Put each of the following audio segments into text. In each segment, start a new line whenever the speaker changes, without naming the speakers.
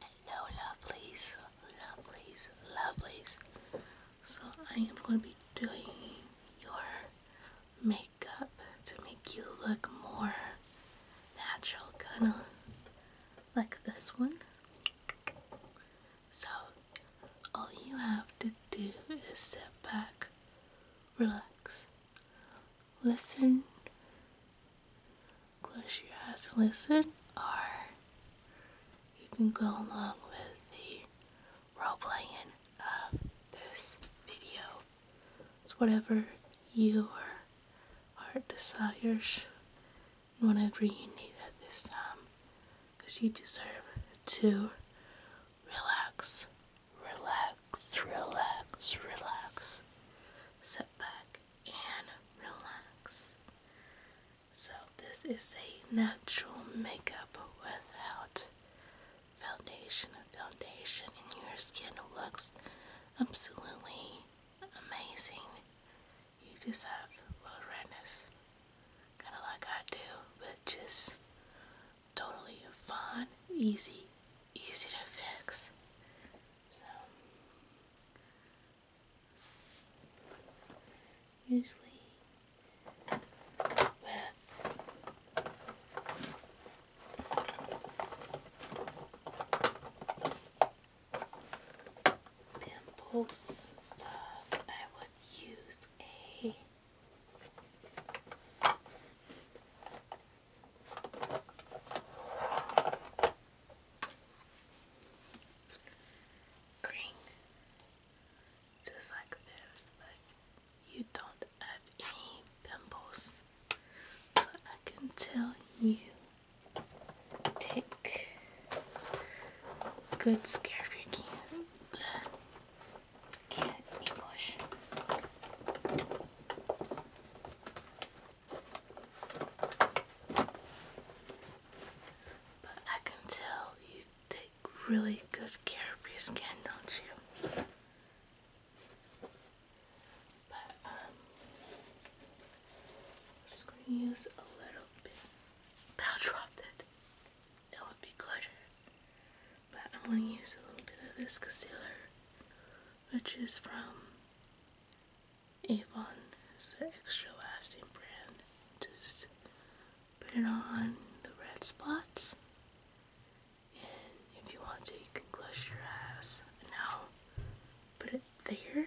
Hello, lovelies, lovelies, lovelies. So, I am going to be doing your makeup to make you look more natural, kind of like this one. So, all you have to do is sit back, relax, listen Close your eyes. listen, or you can go along with the role playing of this video. It's whatever your heart desires and whatever you need at this time, because you deserve to relax, relax, relax, relax, sit back and relax. So, this is a natural makeup without foundation. foundation, and your skin looks absolutely amazing. You just have a little redness, kind of like I do, but just totally fun, easy, easy to fix usually with pimples stuff, I would use a just like this, but you don't have any pimples, so I can tell you take good care if you can. can English. But I can tell you take really good care of your skin, don't you? But um, I'm just gonna use a little bit I'll drop That would be good. But I'm gonna use a little bit of this concealer which is from Avon. It's the extra lasting brand. Just put it on the red spots. And if you want to, you can close your eyes. And now put it there.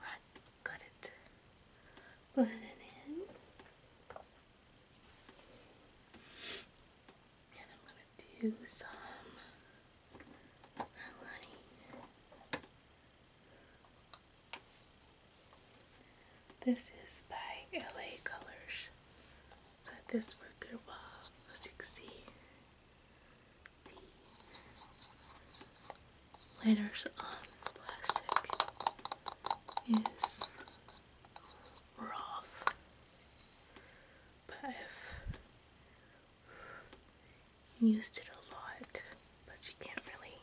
Right, got it. Put it in. And I'm gonna do some honey. This is by LA Colors. this for a good while, The letters on plastic is rough, but if used it a lot, but you can't really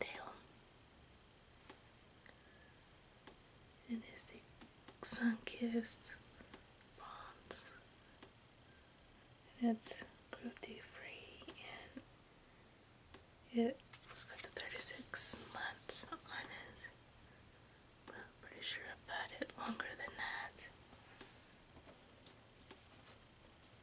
tell. And the sun-kissed bronze. it's cruelty-free, and it's got the 36 months on it. I'm pretty sure I've had it longer than that.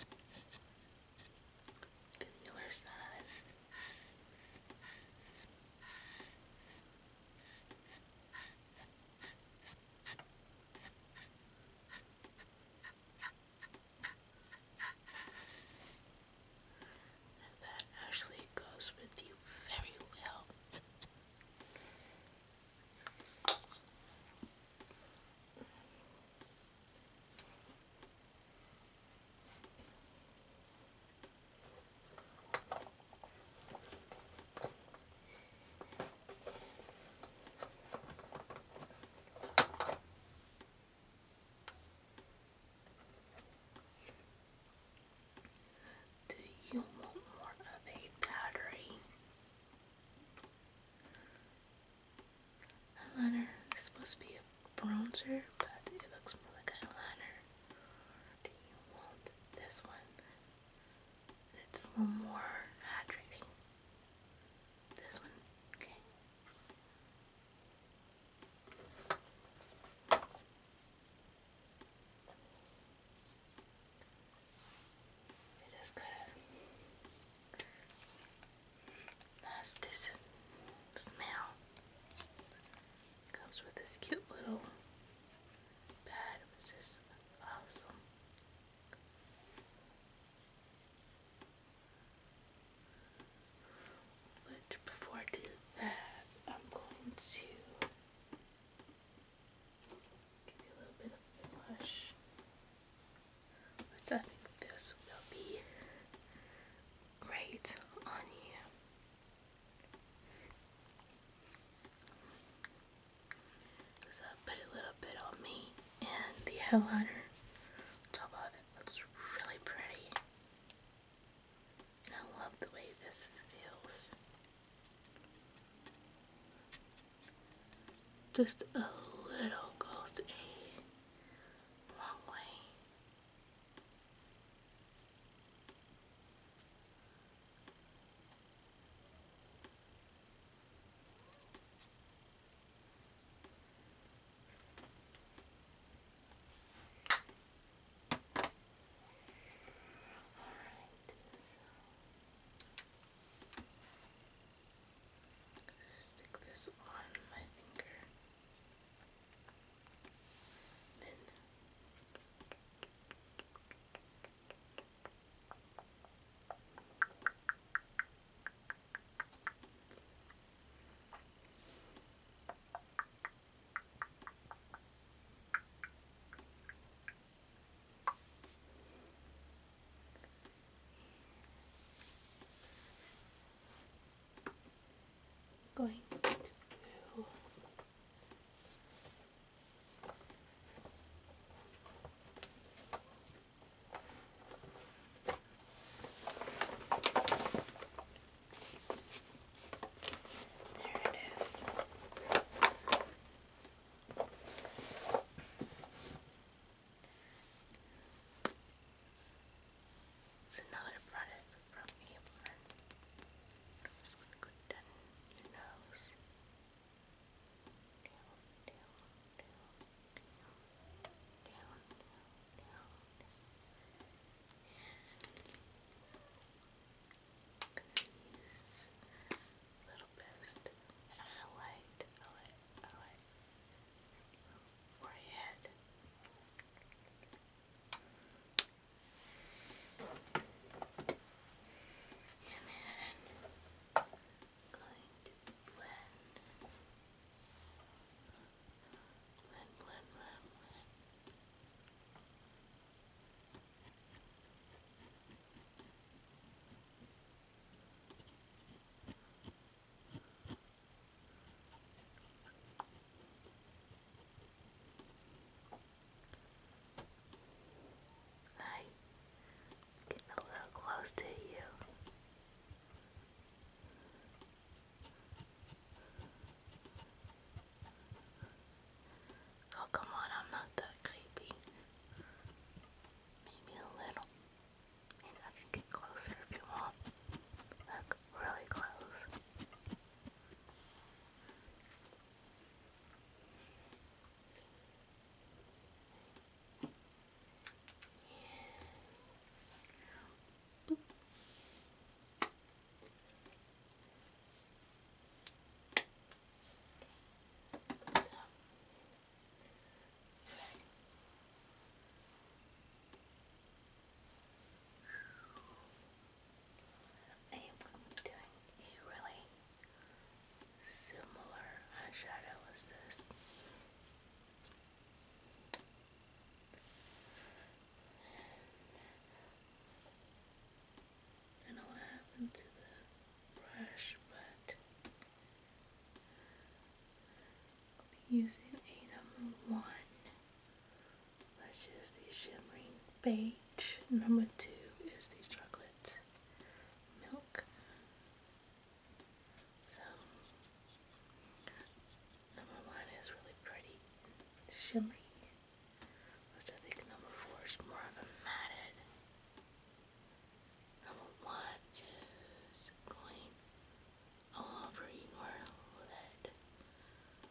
Look that actually goes with you very well. Do you want more of a powdery Eyeliner is supposed be a bronzer, but it looks more like eyeliner. do you want this one? It's a little more hydrating. This one? Okay. It is good. Nice decent smell. Comes with this cute little pad, which is awesome. But before I do that, I'm going to Give you a little bit of blush, which I think this will be great on you. So I uh, put a little bit on me and the highlighter on top of it looks really pretty. And I love the way this feels. Just a little goes a long way. All right, Stick this on my finger. Then going to there it is. It's another product from your nose. Down, down, down, down, down, down, down. This little bit and highlight, highlight, highlight forehead. And then going blend. Blend, blend, blend, blend. Hi, getting a little close to you. Oh, come on, I'm not that creepy. Maybe a little. Maybe I can get closer if you want. Look, really close. Okay. So. I am going to be doing a really similar eyeshadow as this don't know what happened to the brush, but using a number one, which is the shimmering beige. Number two is the chocolate milk. So number one is really pretty, shimmery. Which I think number four is more of a matted. Number one is going all over your head.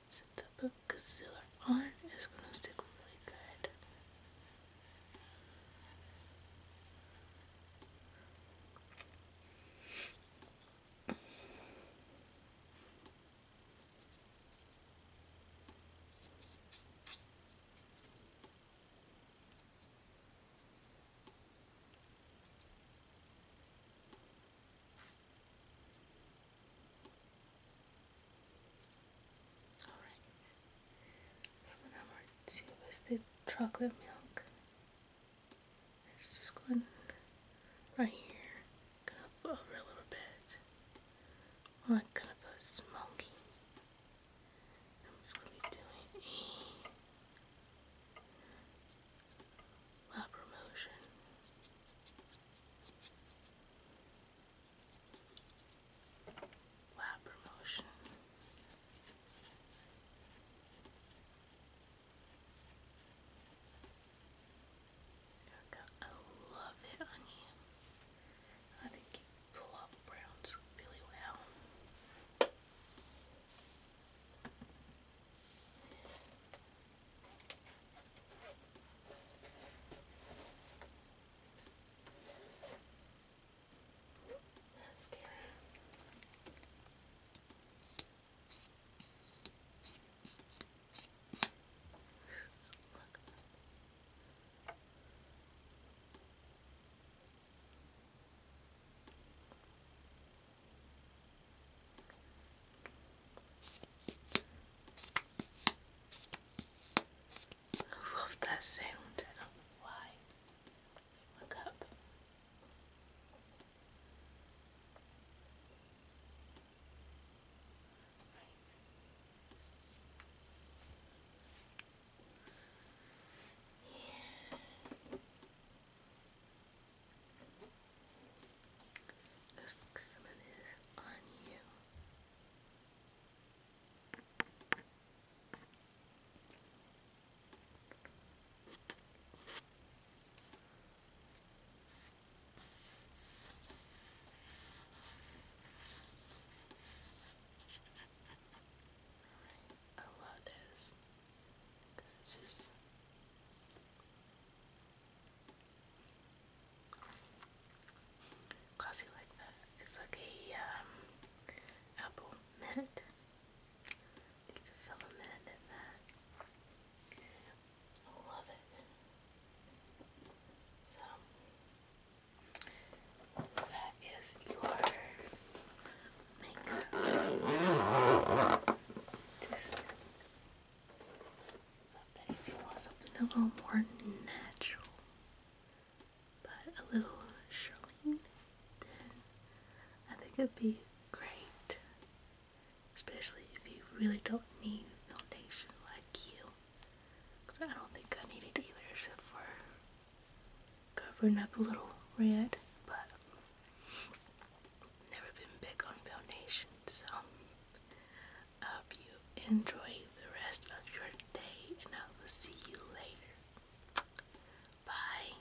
Since I put concealer on, it's gonna stick really good. Alright, so number two is the chocolate milk. Let's just go right here gonna over a little bit. I'm gonna feel smoky. I'm just gonna be doing a proper motion. Wow, promotion. I love it on you. I think you pull up browns really well. Mascara. Look up. I love that sound. why. Just up let some of this on you. Alright, I love this. it's just. Classy like that. It's like a um, apple mint. You can fill a mint in that. I love it. So that is your makeup. Just if you want something a little more natural, but a little showing, then I think it'd be great. Especially if you really don't need foundation like you. Because I don't think I need it either except for covering up a little red. But never been big on foundation. So hope you enjoy the rest of your day and I will see you later. Bye.